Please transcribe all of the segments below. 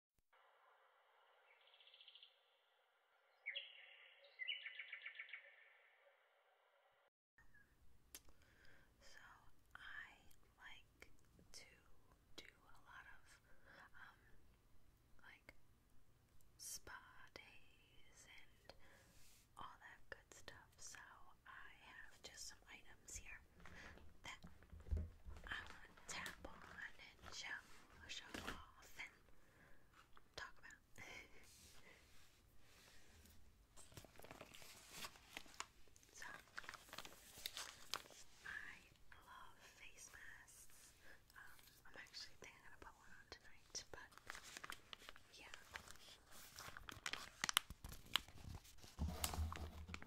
So I like to do a lot of um like spa days and all that good stuff. So I have just some items here that I want tap on talk about. I love face masks. Um, I'm actually thinking I'm on tonight, but yeah.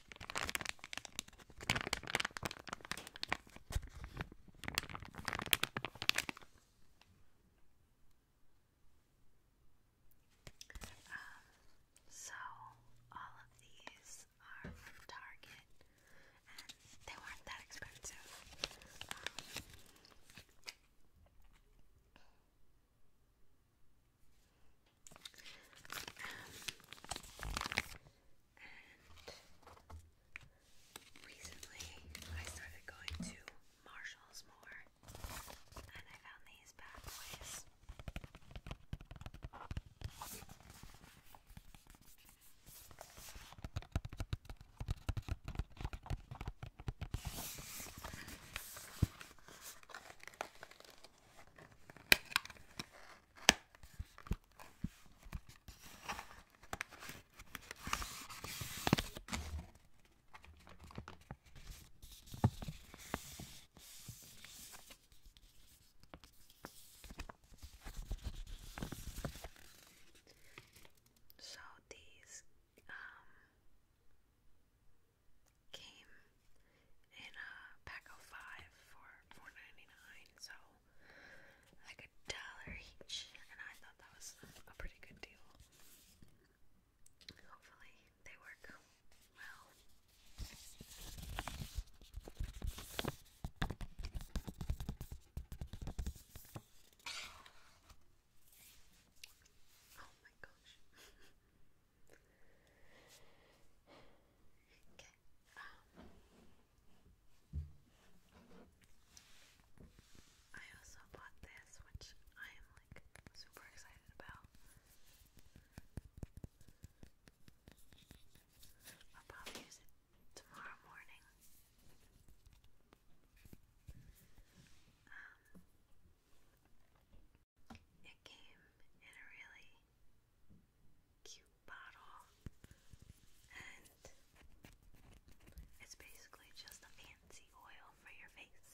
Um, so all of these are from Target and they weren't that expensive. Um, and recently I started going to Marshalls more, and I found these bad boys. So these um, came in a pack of five for four ninety nine, so like a dollar each, and I thought that was a pretty good deal. Hopefully they work well. Oh my gosh. Okay. Um, I also bought this, which I am like super excited about. I'll probably use it tomorrow morning. Um, it came in a really cute bottle, and it's basically just a fancy oil for your face.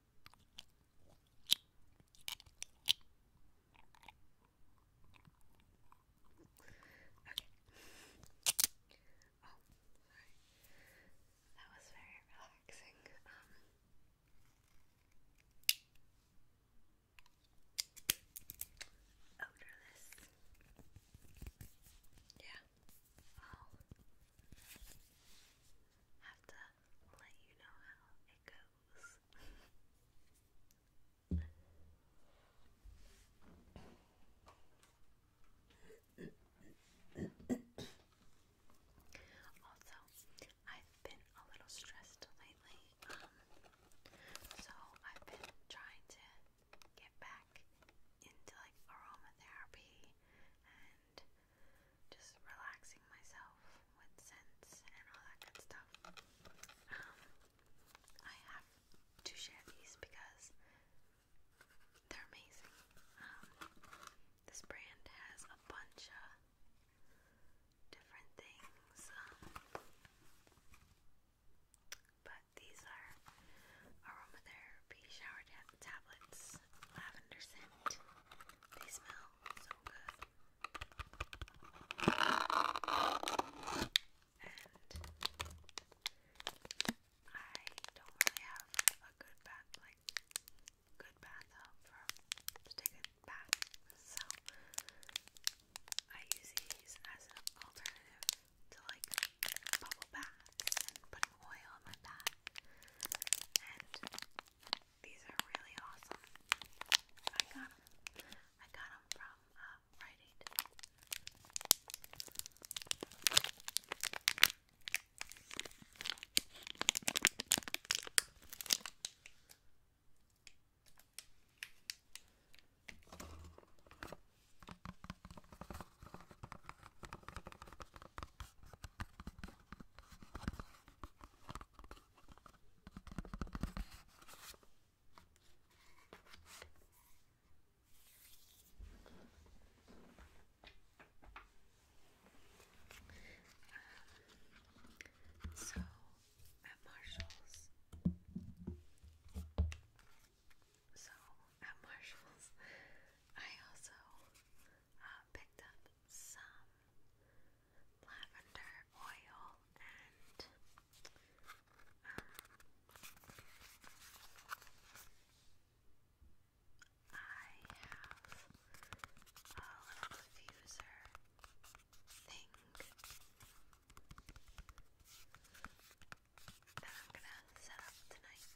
Oh, sorry. That was very relaxing. Um, odorless. Yeah. I'll have to let you know how it goes. also, I've been a little stressed lately, um, so I've been trying to get back into like aromatherapy and just relaxing myself with scents and all that good stuff. Um, I have to share these because they're amazing. Um, this brand has a bunch of different things, um, but these are aromatherapy shower tablets, lavender scent and they smell so good. And I don't really have a good bath, like good bathtub um, for to take a bath, so I use these as an alternative to like little bags oil on my back. And these are really awesome. I got them. I got them from uh, Rite um, so at Marshall's, so at Marshall's, I also uh, picked up some lavender oil and um, I have a little diffuser thing that I'm gonna set up tonight.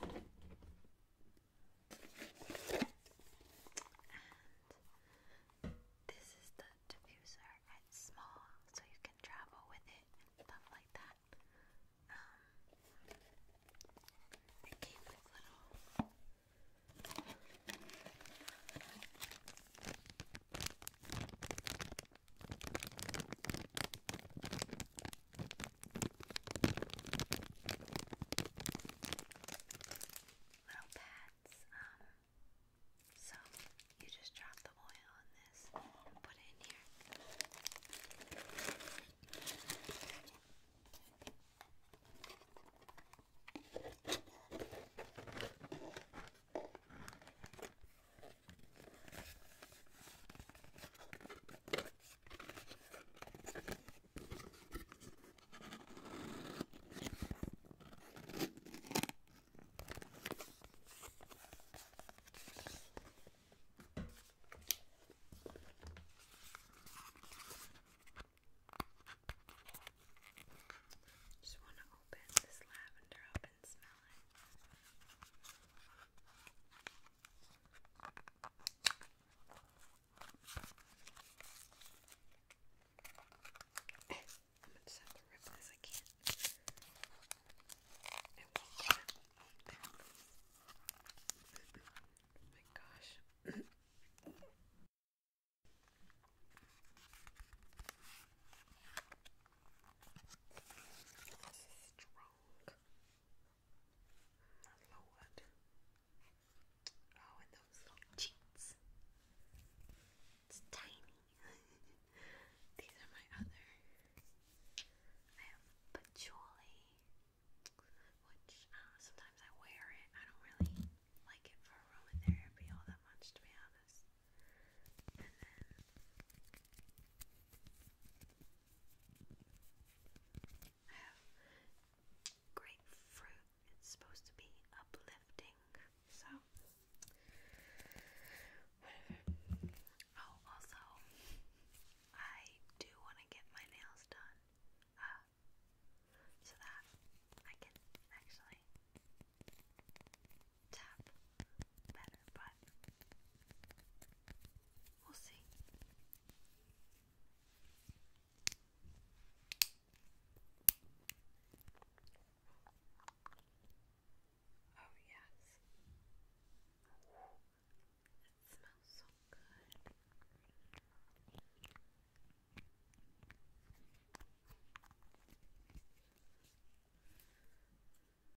And this is the diffuser. It's small, so you can travel with it and stuff like that. Um, it came little. Little pads. Um, so you just drop the oil on this and put it in here. Just want to open this lavender up and smell it. I'm gonna just have to rip this. I can't. Oh my gosh. this is strong. Not lowered. Oh, and those little cheeks. It's tiny. These are my other. I have patchouli, which uh, sometimes I wear it. I don't really like it for aromatherapy all that much, to be honest. I have grapefruit. It's supposed to be uplifting. So, whatever. Oh, also, I do want to get my nails done. Uh, so that I can actually tap better, but we'll see. Oh, yes. It smells so good.